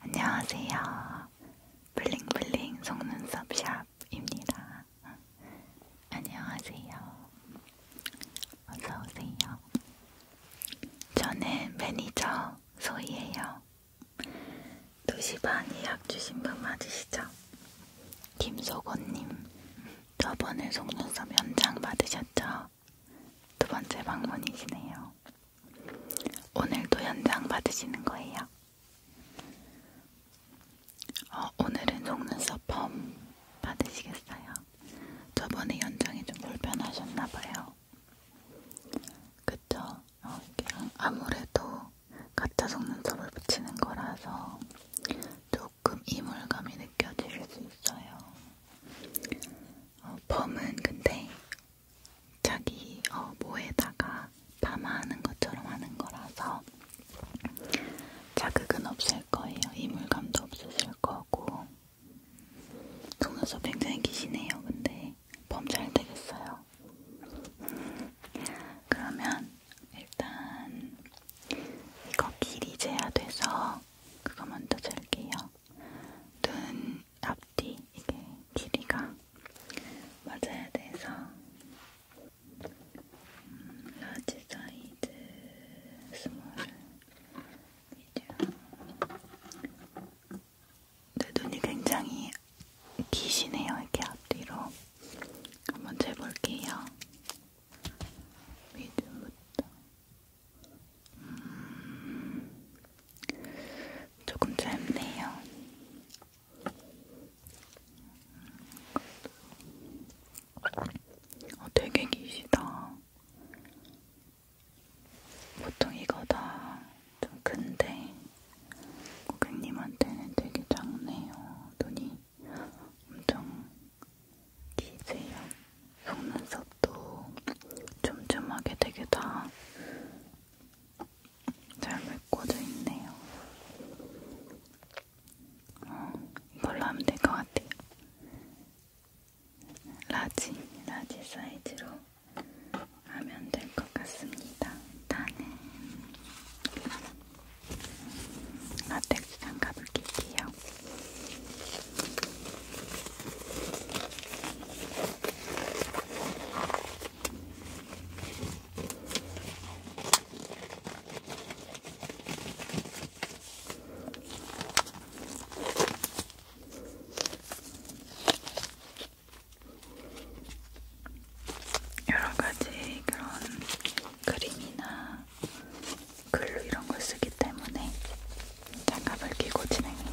안녕하세요. 블링블링 속눈썹샵입니다. 안녕하세요. 어서오세요. 저는 매니저 소희예요. 도시반 예약 주신 분 맞으시죠? 김소곤님, 저번에 속눈썹 연장 받으셨죠? 두 번째 방문이시네요. 오늘도 연장 받으시는 거예요? 어, 오늘은 속눈썹 펌 받으시겠어요? 저번에 연장이 좀 불편하셨나봐요. 그쵸? 어, 아무래도 가짜 속눈썹을 붙이는 거라서 조금 이물감이 느껴지실 수 있어요. 어, 펌은 근데 자기 어, 모에다가 파마하는 것처럼 하는 거라서 자극은 없을 거예요. 이물감도 없으실 거고 속눈썹 굉장히 기시네요. 근데 범 잘 되겠어요. 그러면 일단 이거 길이 재야 돼서 그거 먼저 잘게요. 눈 앞뒤 이게 길이가 맞아야 돼서 음, 라지 사이즈 스몰 미디엄 내 눈이 굉장히 기시네요 이렇게 앞뒤로 한번 재볼게요 미디부터 음, 조금 짧네요. 어, 되게 기시다. 보통 이거 다 좀 큰데 고객님한테는 되게 작네요. 눈이 엄청 기세요. 속눈썹도 촘촘하게 되게 다잘 메꿔져 있네요. 어, 이걸로 하면 될 것 같아요. 라지, 라지 사이즈로 하면 될 것 같습니다. 일단은 라텍스 장갑을 끼게요. 여러 가지 그런 그림이나 글 이런 걸 쓰기 때문에 장갑을 끼고 진행해요.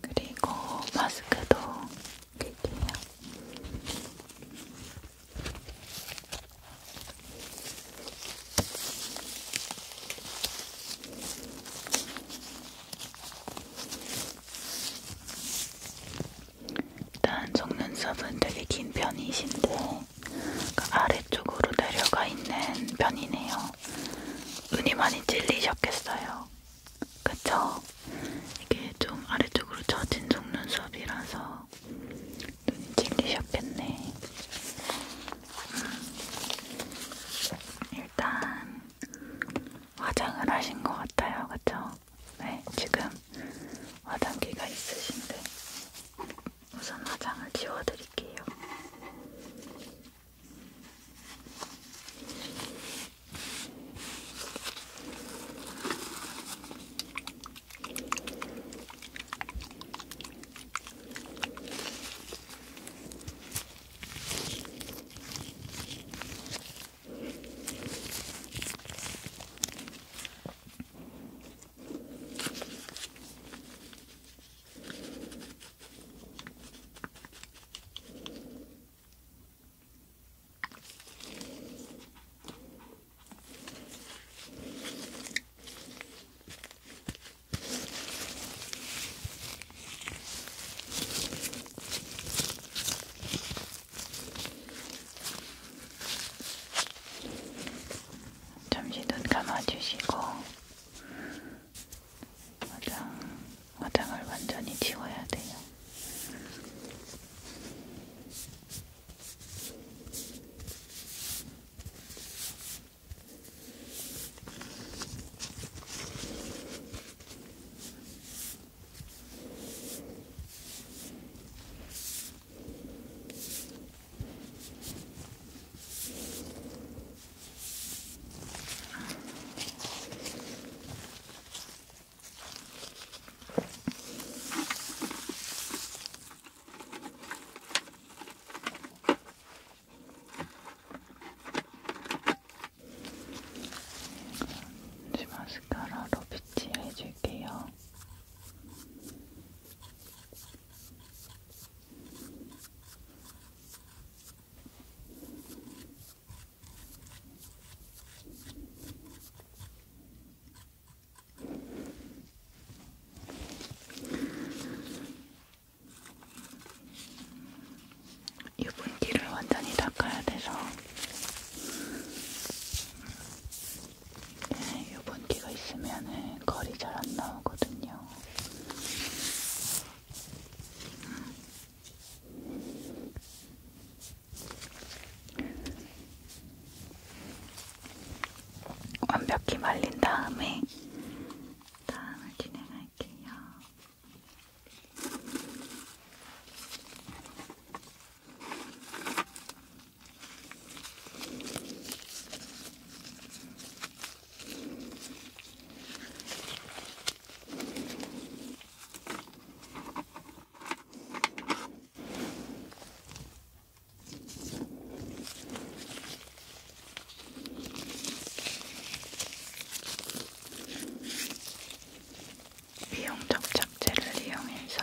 그리고 마스크도 낄게요. 일단 속눈썹은 되게 긴 편이신데 그 아래쪽으로 내려가 있는 편이네요. 눈이 많이 찔리셨겠어요. 그쵸? 이게 좀 아래쪽으로 처진 속눈썹이라서 눈이 찔리셨겠네. 음. 일단 화장을 하신 것 같아요. 그쵸? 네, 지금 화장기가 있으신데 우선 화장을 지워드릴게요. 잠시 눈 감아주시고 화장, 화장을 완전히 지워야 돼요. 이 마스카라로 빗질해줄게요. 유분기를 완전히 닦아야 돼서 네, 유분기가 있으면 거리 잘 안 나오거든요. 완벽히 말린 다음에 다음을 진행할게요. 비용적 잡채를 이용해서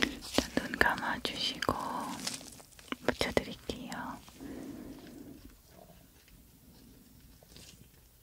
일단 눈 감아주시고 붙여드릴게요.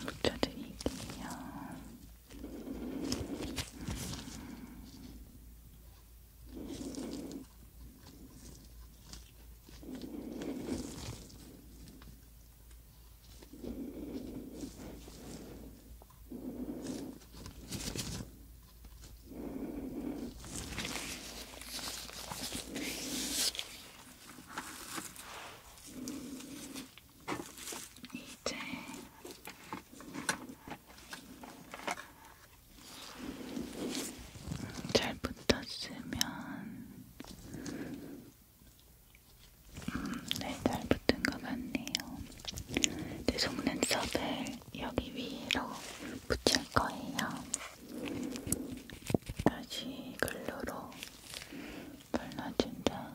붙여드릴게요. 음. 이제 잘 붙었으면 음, 네, 잘 붙은 것 같네요. 내 네, 속눈썹을 여기 위로 붙일 거예요. 다시 글루로 발라준 다음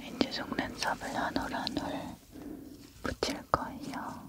왠지 네, 속눈썹을 한올한올 붙일 거예요.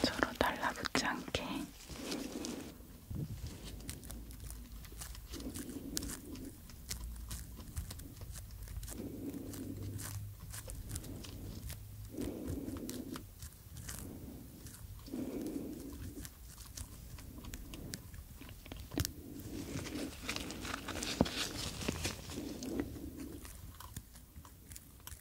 서로 달라붙지 않게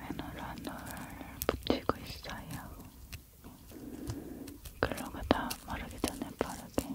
외놀 안놀 붙이고 있어요. 글러가 다 마르기 전에 바르게.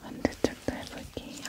반대쪽도 해볼게요. 이렇게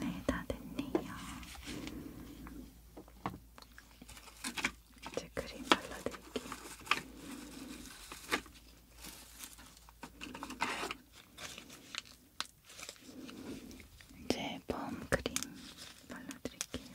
네, 다 됐네요. 이제 크림 발라드릴게요. 이제 펌 크림 발라드릴게요.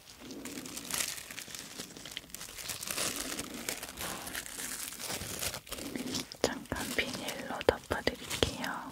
잠깐 비닐로 덮어드릴게요.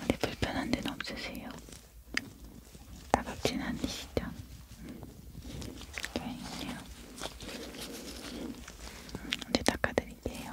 어디 불편한 데는 없으세요? 따갑진 않으시죠? 음. 다행이네요. 이제 음, 닦아드릴게요.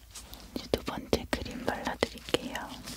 이제 두 번째 크림 발라드릴게요. 음.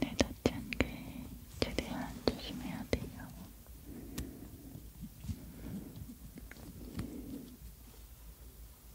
눈에 닿지 않게 최대한 조심해야 돼요.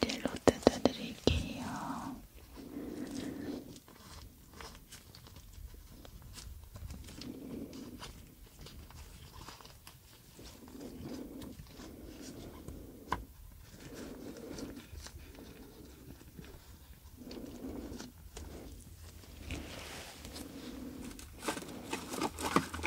젤로 뜯어드릴게요.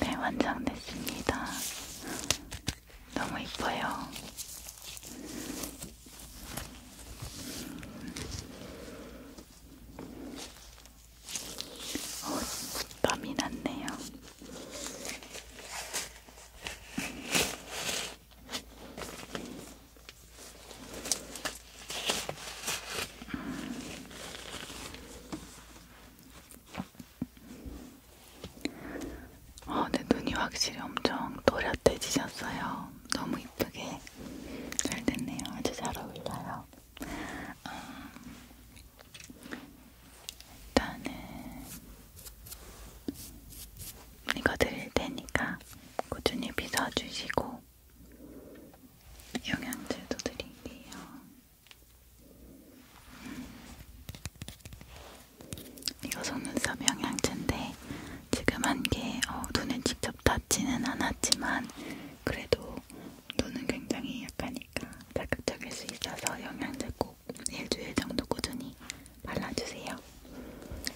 네, 완성됐습니다. 너무 이뻐요. 어, 땀이 났네요. 어, 내 눈이 확실히 엄청 또렷해지셨어요. 너무 이쁘게 잘 됐네요. 아주 잘 어울려요. 음, 일단은 이거 드릴 테니까 꾸준히 빗어주시고 영양제도 드릴게요. 음. 이거 속눈썹 영양제인데 지금 한게 어, 눈에 직접 닿지는 않았지만 그래도 눈은 굉장히 약하니까 자극적일 수 있어서 영양제 꼭 일주일 정도 꾸준히 발라주세요.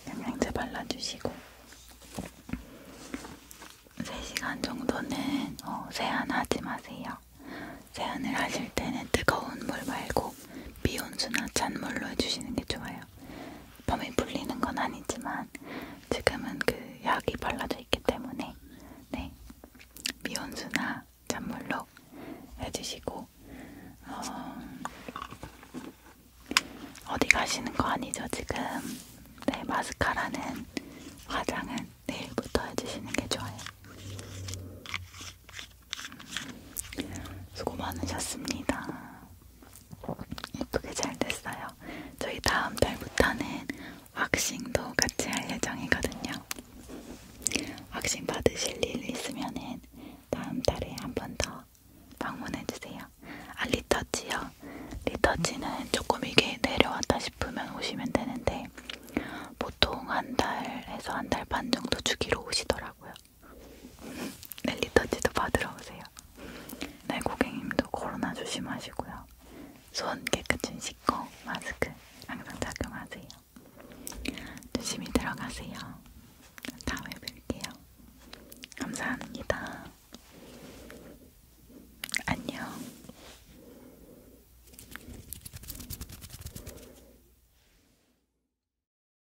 영양제 발라주시고 3시간 정도는 어, 세안하지 마세요. 세안을 하실 때는 뜨거운 물 말고 미온수나 찬물로 해주시는 게 좋아요. 몸이 불리는 건 아니지만 지금은 그 약이 발라져 있기 때문에 네 미온수나 찬물로 해주시고 어, 어디 가시는 거 아니죠 지금? 네 마스카라는 화장은 내일부터 해주시는 게 좋아요. 수고 많으셨습니다. 예쁘게 잘 됐어요. 저희 다음 달부터는 왁싱도 같이 할 예정이거든요. 왁싱 받으실 일 있으면은 다음 달에 한 번 더 방문해주세요. 아, 리터치요. 리터치는 조금 이게 내려왔다 싶으면 오시면 되는데, 보통 한 달에서 한 달 반 정도 주기로 오시더라고요. 네, 리터치도 받으러 오세요. 네, 고객님도 코로나 조심하시고요. 손 깨끗이 씻고 마스크 항상 착용하세요. 조심히 들어가세요. 다음에 뵐게요. 감사합니다. 안녕.